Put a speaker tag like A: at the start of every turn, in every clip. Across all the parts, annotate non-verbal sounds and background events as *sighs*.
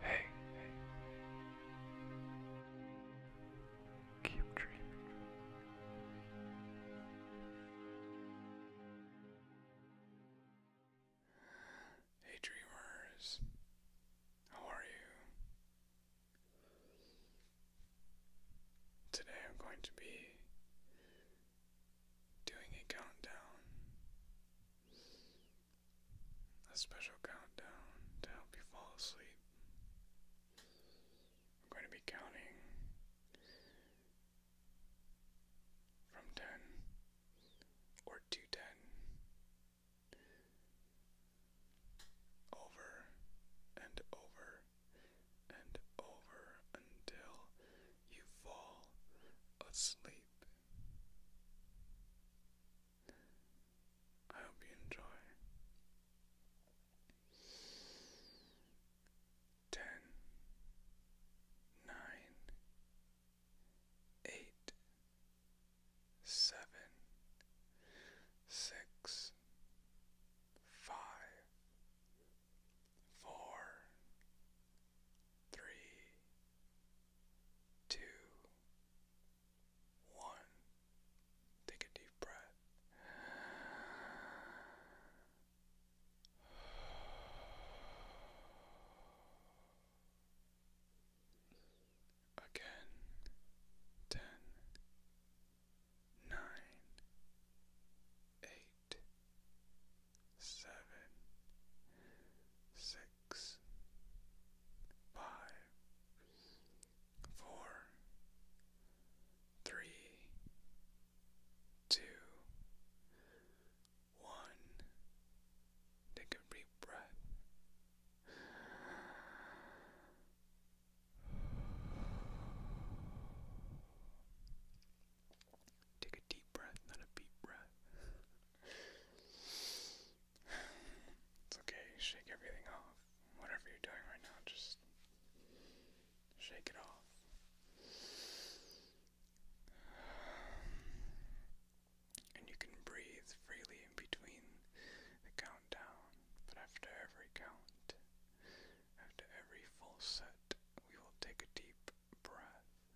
A: Hey, Keep dreaming. Hey, dreamers. How are you? Today I'm going to be doing a countdown a special countdown to help you fall asleep. I'm going to be counting from 10 or to 10 over and over and over until you fall asleep sleep. I hope you enjoy. Ten, nine, eight, seven, six, five, four, three, two, one. Take a deep breath. Again, ten, nine, eight eight, seven, six, five, four, three, two, one. Take a deep breath. Take a deep breath, not a deep breath. *sighs* it's okay, shake everything off. Whatever you're doing right now, just shake it off. *sighs* And you can breathe freely in between the countdown, but after every count, after every full set, we will take a deep breath.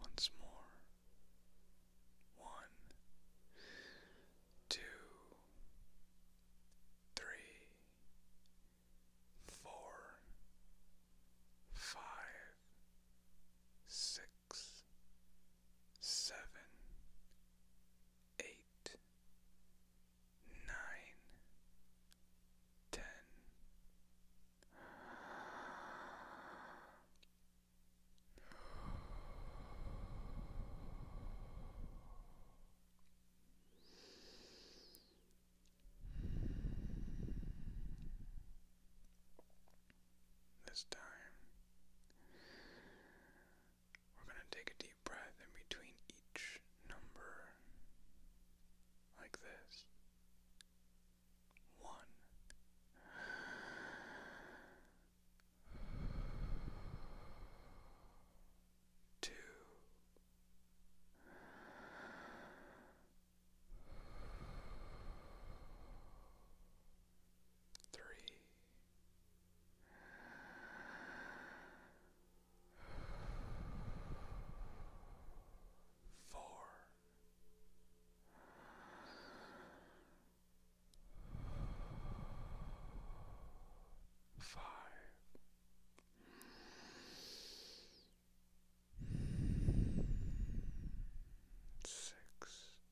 A: Once more. One, two, three, four, five, six, seven, eight, nine, ten. This time, we're going to take a deep breath in between each number, like this. One. Two three. Four, five, six.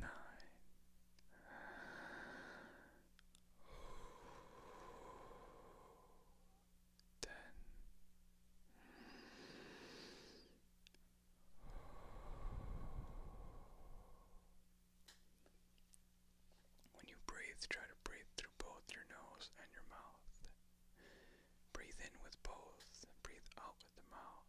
A: nine. when you breathe, try to breathe through both your nose and your mouth. Breathe in with both, breathe out with the mouth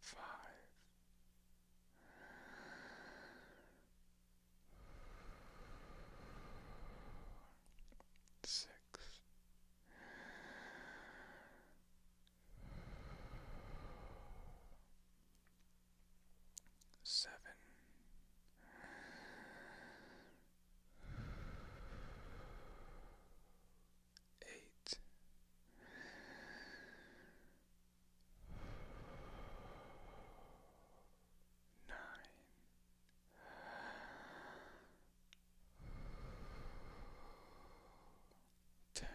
A: Five. Six. Seven eight. Nine, ten,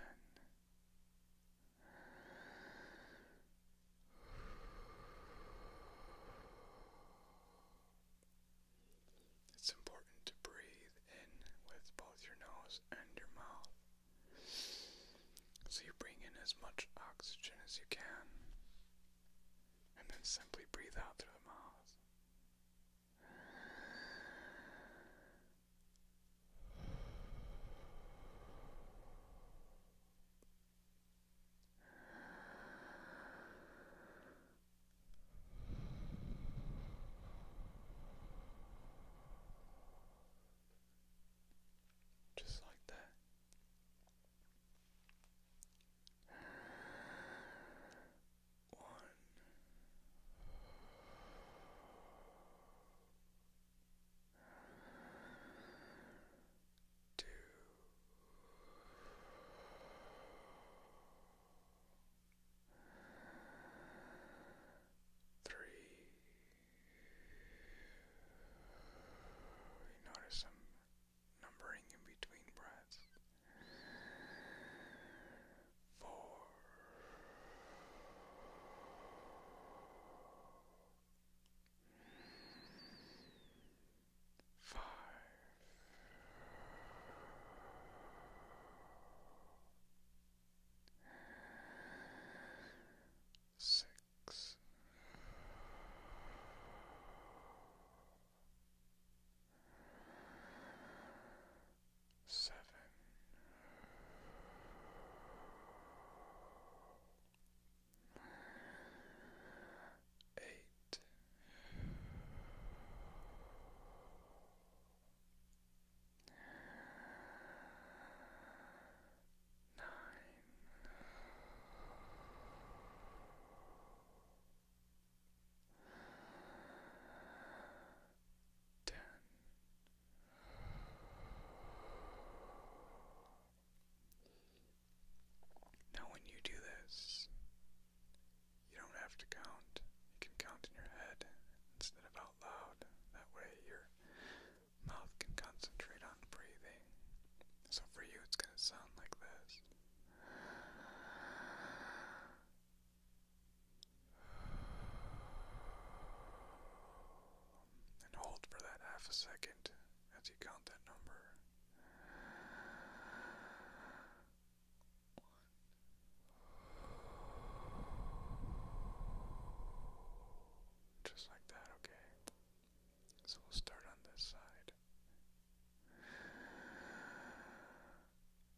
A: it's important to breathe in with both your nose and your mouth. So you bring in as much oxygen as you can, and then simply breathe out through the mouth. Just like that. One two, three. You notice some numbering in between breaths. Four five, six. Seven, eight. Nine, ten, eleven, now, when you do this, you don't have to count. You can count in your head instead of out loud. That way, your mouth can concentrate on breathing. So, for you, it's going to sound like this. And hold for that half a second as you count that number. Just like that, okay. So we'll start on this side.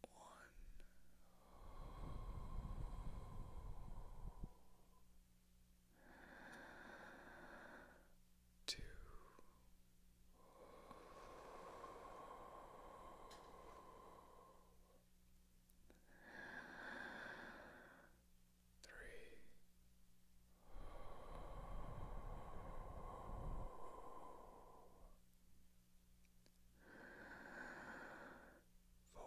A: One, two, three. Four,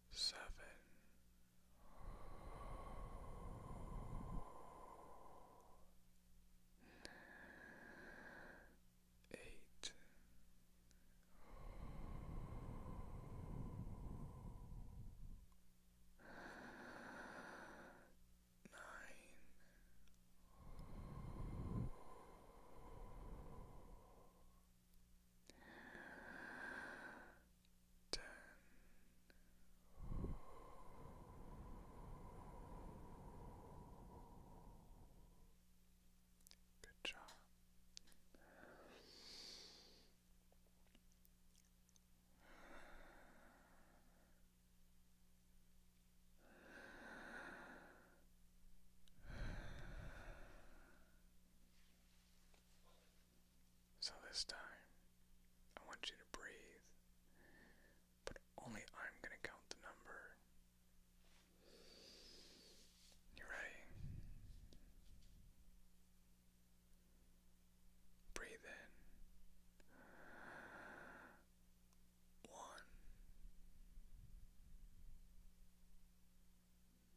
A: seven. Eight, nine, ten. Good job. So this time, I want you to breathe, but only I'm going to count the number. You ready? Breathe in. One,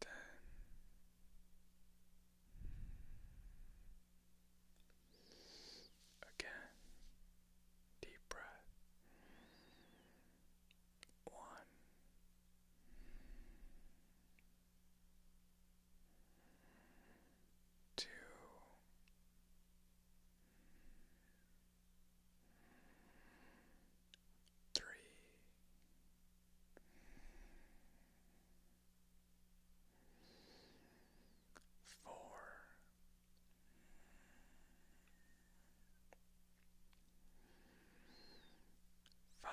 A: ten, again, deep breath, one. Two, three, four, five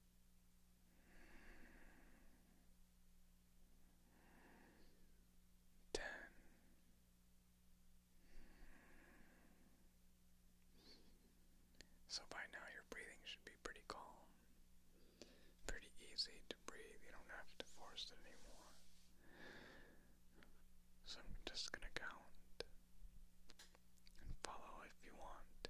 A: ten so by now your breathing should be pretty calm, pretty easy to breathe. You don't have to force it anymore. So I'm just gonna count and follow if you want.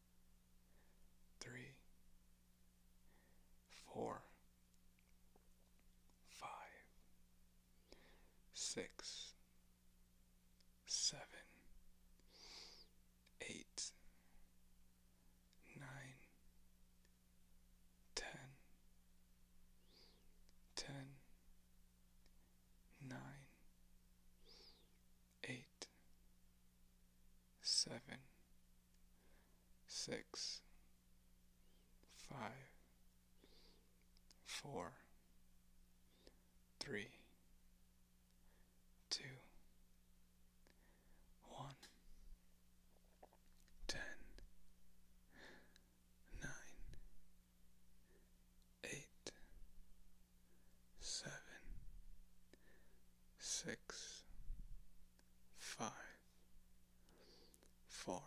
A: three, four, five, six, seven, eight, nine, ten, ten, nine, eight, seven, six, five, four, three, two, one, ten, nine, eight, seven, six, five, four,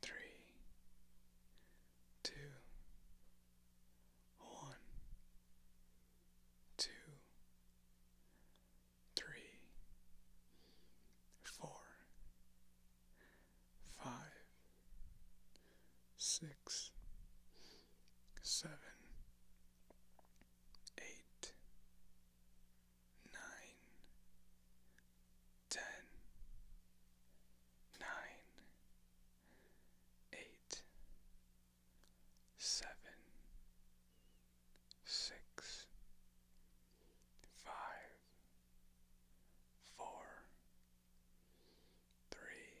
A: three, two, one, two, three, four, five, six, seven, eight, nine, ten, nine, eight, seven, six, five, four, three,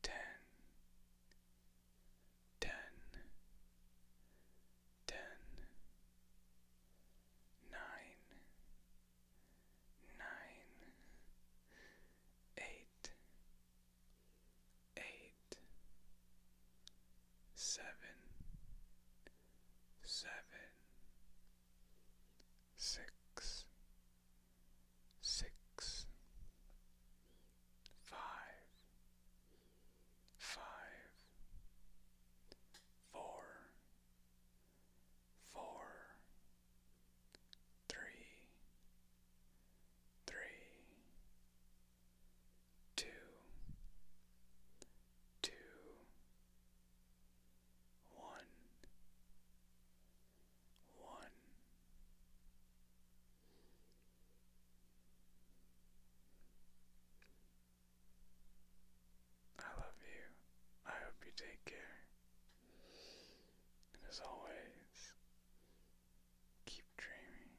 A: ten, ten, ten, nine, nine, eight, eight, seven, seven, six six, five, five, four, four, three, three, two, two, one, one. I love you. I hope you take care. And as always, keep dreaming.